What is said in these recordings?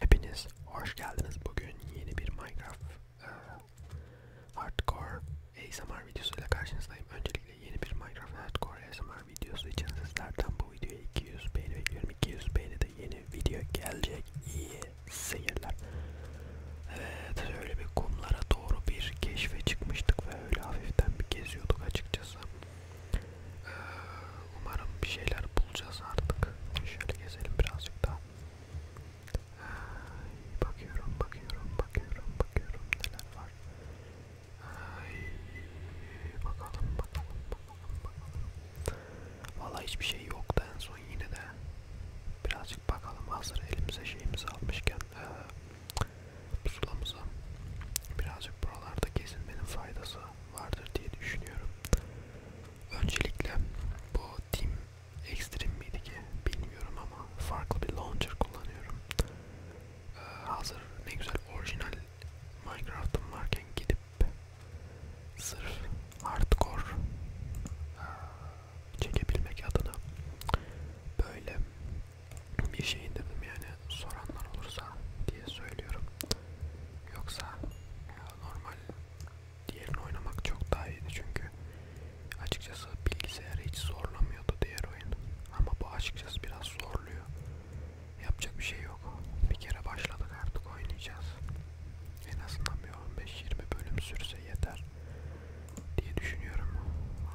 Hepiniz hoş geldiniz. Bugün yeni bir Minecraft e, Hardcore ASMR videosuyla karşınızdayım. Öncelikle yeni bir Minecraft Hardcore ASMR videosu için sizlerden bu videoya 200 beğeni bekliyorum. 200 beğeni de yeni video gelecek. İyi seyirler. Evet öyle bir kumlara doğru bir keşfe çıkmıştık ve öyle hafiften bir geziyorduk açıkçası. E, Umarım bir şeyler bulacağız artık. Şöyle gezelim birazcık daha. Ay, bakıyorum, bakıyorum, bakıyorum, bakıyorum neler var. Ay, bakalım, bakalım, bakalım, bakalım. Valla hiçbir şey yoktu en son yine de. Birazcık bakalım hazır elimize şeyimizi almışken e, pusulamıza birazcık buralarda gezinmenin faydası vardır diye düşünüyorum. Öncelikle bu Team Extreme miydi ki bilmiyorum ama farklı bir launcher kullanıyorum. Ee, hazır ne güzel orijinal Minecraft'ım varken gidip sırf hardcore ee, çekebilmek adına böyle bir şey indirdim yani soranlar olursa diye söylüyorum. Yoksa ya, normal diğerini oynamak çok daha iyiydi çünkü açıkçası bilgisayarı hiç zorlamıyordu diğer oyun ama bu açıkçası biraz zorluyor yapacak bir şey yok bir kere başladık artık oynayacağız en azından bir 15-20 bölüm sürse yeter diye düşünüyorum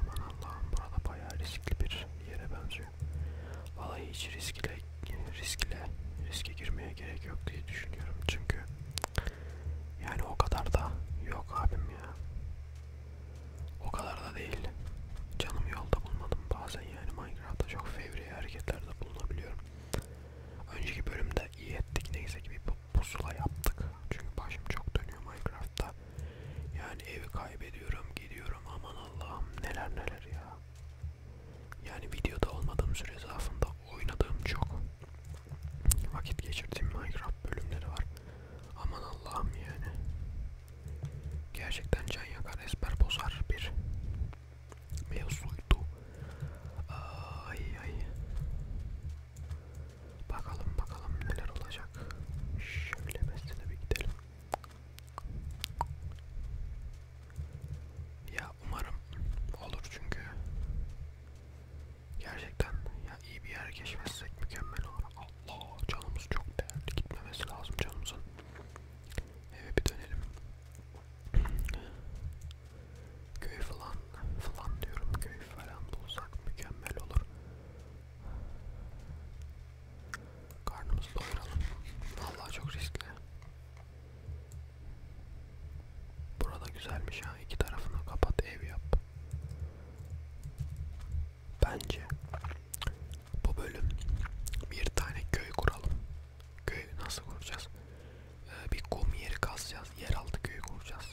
aman Allah'ım burada bayağı riskli bir yere benziyor çünkü. Vallahi hiç riskle, riskle, riske girmeye gerek yok diye düşünüyorum çünkü yani o kadar da yok abim ya. O kadar da değil. Canım yolda bulmadım bazen yani Minecraft'ta çok fevri hareketlerde bulunabiliyorum. Önceki bölümde iyi ettik neyse ki bir pusula yaptık. Çünkü başım çok dönüyor Minecraft'ta. Yani evi kaybediyorum, gidiyorum aman Allah'ım neler neler ya. Yani videoda olmadığım süre zarfında oynadığım çok vakit geçirdiğim Minecraft bölümleri var. Aman Allah'ım yani. Gerçekten can yakar, esmer bozar bir mevzuydu. Ay ay. Bakalım bakalım neler olacak. Şöyle mesele bir gidelim. Ya umarım olur çünkü gerçekten ya iyi bir yer keşfetsek mükemmel olur. Allah canımız çok değerli gitmemesi lazım canımızın. Eve bir dönelim. Köy falan falan diyorum köy falan bulsak mükemmel olur. Karnımızı doyuralım. Vallahi çok riskli. Burada güzelmiş ha. İki tarafını kapat, ev yap. Bence bu bölüm bir tane köy kuralım. Köy nasıl kuracağız? Ee, bir kum yeri kazacağız. Yeraltı köyü kuracağız.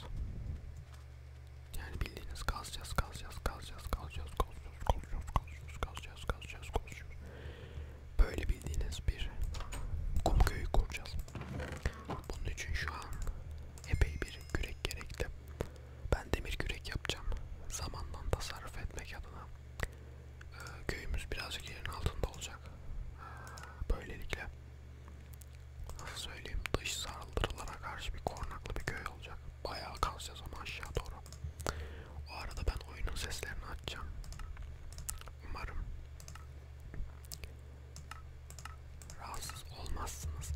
Yani bildiğiniz kazacağız, kazacağız, kazacağız, kazacağız, kazacağız kazıyoruz, kazıyoruz, kazıyoruz, kazacağız, kazacağız, kazacağız. Böyle bildiğiniz bir kum köyü kuracağız. Bunun için şu an epey bir kürek gerekli. Ben demir kürek yapacağım. Zamandan tasarruf etmek adına. Ee, köyümüz birazcık yerin altında olacak. Ee, böylelikle nasıl söyleyeyim dış saldırılara karşı bir korunaklı bir köy olacak bayağı kalacağız ama aşağı doğru. O arada ben oyunun seslerini açacağım. Umarım rahatsız olmazsınız.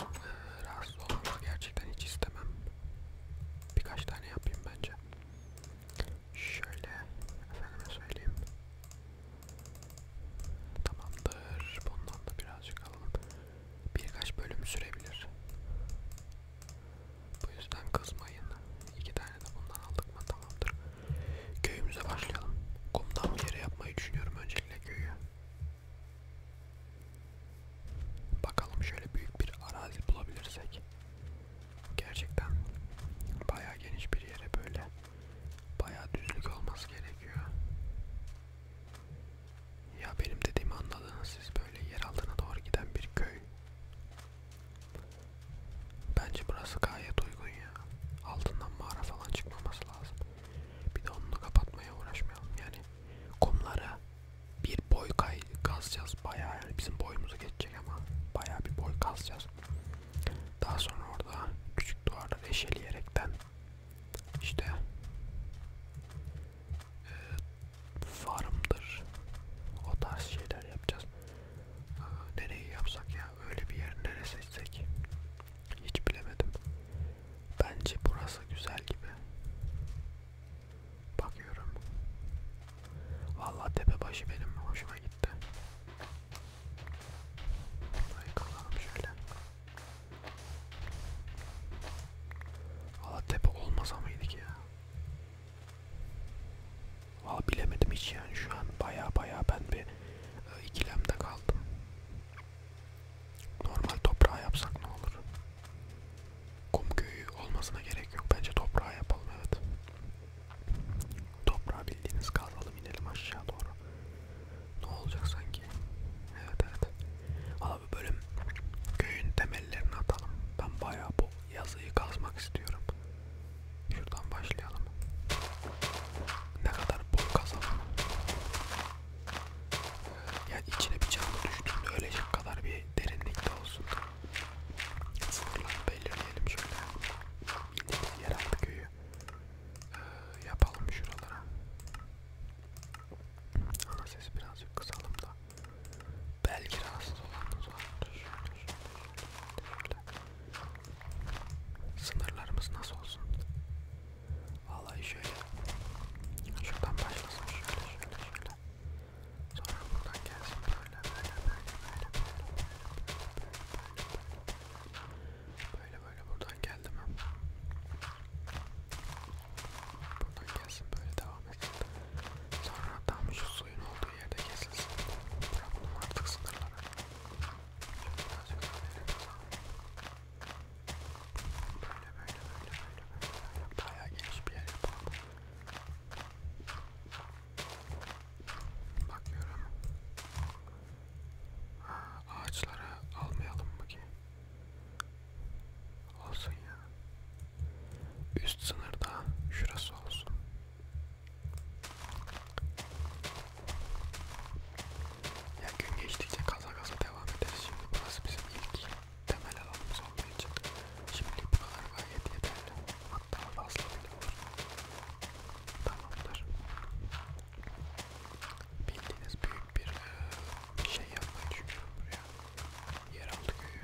Ee, rahatsız olmanızı gerçekten hiç istemem. Birkaç tane yapayım bence. Şöyle efendime söyleyeyim. Tamamdır. Bundan da birazcık alalım. Birkaç bölüm sürebilir. Bu yüzden kızmayın. İki tane de bundan aldık mı tamamdır. Köyümüze başlayalım. Kumdan bir yere yapmayı düşünüyorum öncelikle köyü. Bakalım şöyle büyük bir arazi bulabilirsek. Gerçekten bayağı geniş bir yere böyle bayağı düzlük olması gerekiyor. Ya benim dediğimi anladınız siz böyle yer altına doğru giden bir köy. Bence burası gayet uygun ya. Altından mağara falan çıkmaması lazım. Bir de onu kapatmaya uğraşmayalım yani. Kumlara bir boy kay kazacağız bayağı yani bizim boyumuzu geçecek ama bayağı bir boy kazacağız. Daha sonra orada küçük duvarları eşeleyerekten işte ee, farmdır. O tarz şeyler yapacağız. Aa, ee, nereyi yapsak ya? Öyle bir yer nere seçsek? Hiç bilemedim. Bence burası güzel gibi. Bakıyorum. Vallahi tepe başı benim hoşuma gitti. Burayı kalalım şöyle. Valla tepe olmasa mıydık ya? Valla bilemedim hiç yani şu an baya baya ben bir e, ikilemde kaldım. Normal toprağa yapsak ne olur? Kum köyü olmasına gerek yok. Bence toprağa yapalım evet. Toprağa bildiğiniz kazalım inelim aşağı doğru. Ne olacak sanki? Evet evet. Abi böyle köyün temellerini atalım. Ben bayağı bu yazıyı kazmak istiyorum. Şuradan başlayalım. Ne kadar bol kazalım. Yani içine bir canlı düştüğünde ölecek kadar bir derinlikte olsun. Sınırları belirleyelim şöyle. Yine yeraltı köyü ee, yapalım şuralara. Ana sesi birazcık kısalım da. Belki rahatsız olanlar var. Sınırlarımız nasıl olsun? Vallahi şöyle. Şuradan başlasın şöyle şöyle şöyle. Sonra buradan gelsin böyle böyle böyle böyle böyle böyle böyle böyle böyle buradan geldim ben. Buradan gelsin böyle devam etsin. Sonra tam şu suyun olduğu yerde kesilsin. Bırakalım artık sınırlara. Şöyle birazcık daha verelim sana. Böyle böyle böyle böyle böyle böyle. Bayağı geniş bir yer yapalım. Bakıyorum. Aa, ağaçlara almayalım mı ki? Olsun ya. Üst sınırda şurası olsun. Ya gün geçtikçe kaza kaza devam ederiz. Şimdi burası bizim ilk temel alanımız olduğu için. Şimdi bu kadar gayet yeterli. Hatta fazla bile olur. Tamamdır. Bildiğiniz büyük bir e, şey yapmayı düşünüyorum buraya. Yeraltı köyü.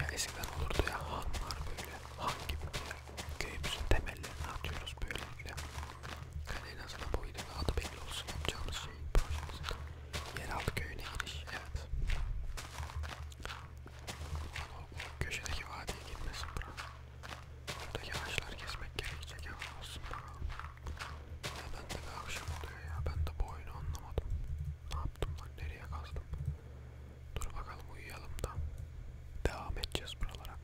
Ya eskiden olurdu ya han var böyle. Han gibi bir yer. Köyümüzün temellerini atıyoruz böylelikle. Yani en azından bu videoda adı belli olsun yapacağımız şeyin projemizin. Yeraltı köyüne giriş. Evet. O, o köşedeki vadiye girmesin bura. Buradaki ağaçlar kesmek gerekecek ama olsun bakalım. Neden de akşam oluyor ya? Ben de bu oyunu anlamadım. Ne yaptım lan? Nereye kazdım? Dur bakalım uyuyalım da. Devam edeceğiz buralara.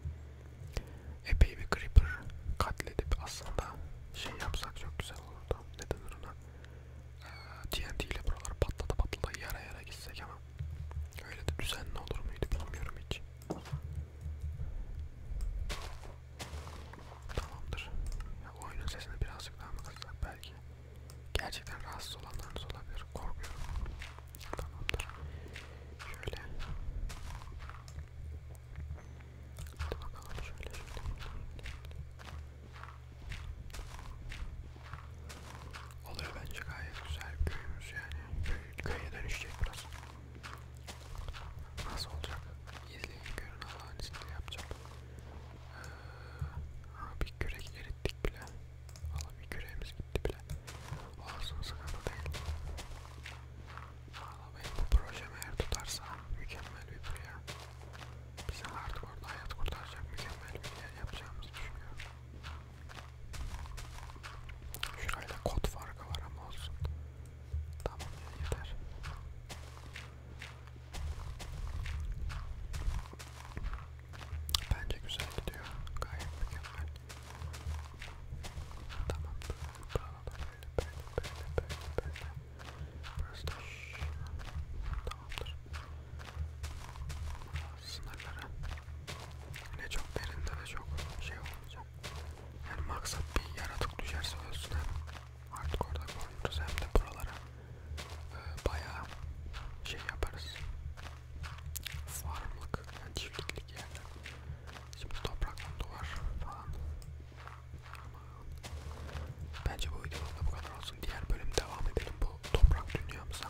Epey bir creeper katledip aslında şey yapsak çok güzel olurdu. Ne denir ona? Ee, TNT ile buraları patlata patlata yara yara gitsek ama öyle de düzenli olur muydu bilmiyorum hiç. Tamamdır. Ya, oyunun sesini birazcık daha mı kıssak belki? Gerçekten rahatsız olanlarınız olabilir. Korkuyorum. Tamamdır. Şöyle. Hadi bakalım şöyle şöyle. Oluyor bence gayet güzel köyümüz yani. Köy, köye dönüşecek burası. Nasıl olacak? İzleyin görün Allah'ın izniyle yapacağım. Ee, bir kürek erittik bile. Valla bir küreğimiz gitti bile. Olsun sıkıntı değil. Valla benim bu projem eğer tutarsa mükemmel bir proje. Bize artık orada hayat kurtaracak mükemmel bir yer yapacağımızı düşünüyorum. Şurayla kod farkı var ama olsun. Tamam yeter. Bence güzel gidiyor. Gayet mükemmel. Tamam. Tamam da böyle böyle böyle böyle böyle. Burası da tamamdır. Sınırlara. Yine çok derinde ve çok şey olmayacak. Hem maksat bir yaratık düşerse ölsün hem artık orada korunuruz hem de buralara e, bayağı şey yaparız. Farmlık, yani çiftliklik yerler. Şimdi topraktan duvar falan. Ama bence bu videoda bu kadar olsun. Diğer bölüm devam edelim bu toprak dünyamıza.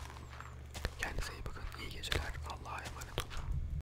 Kendinize iyi bakın. İyi geceler. Allah'a emanet olun.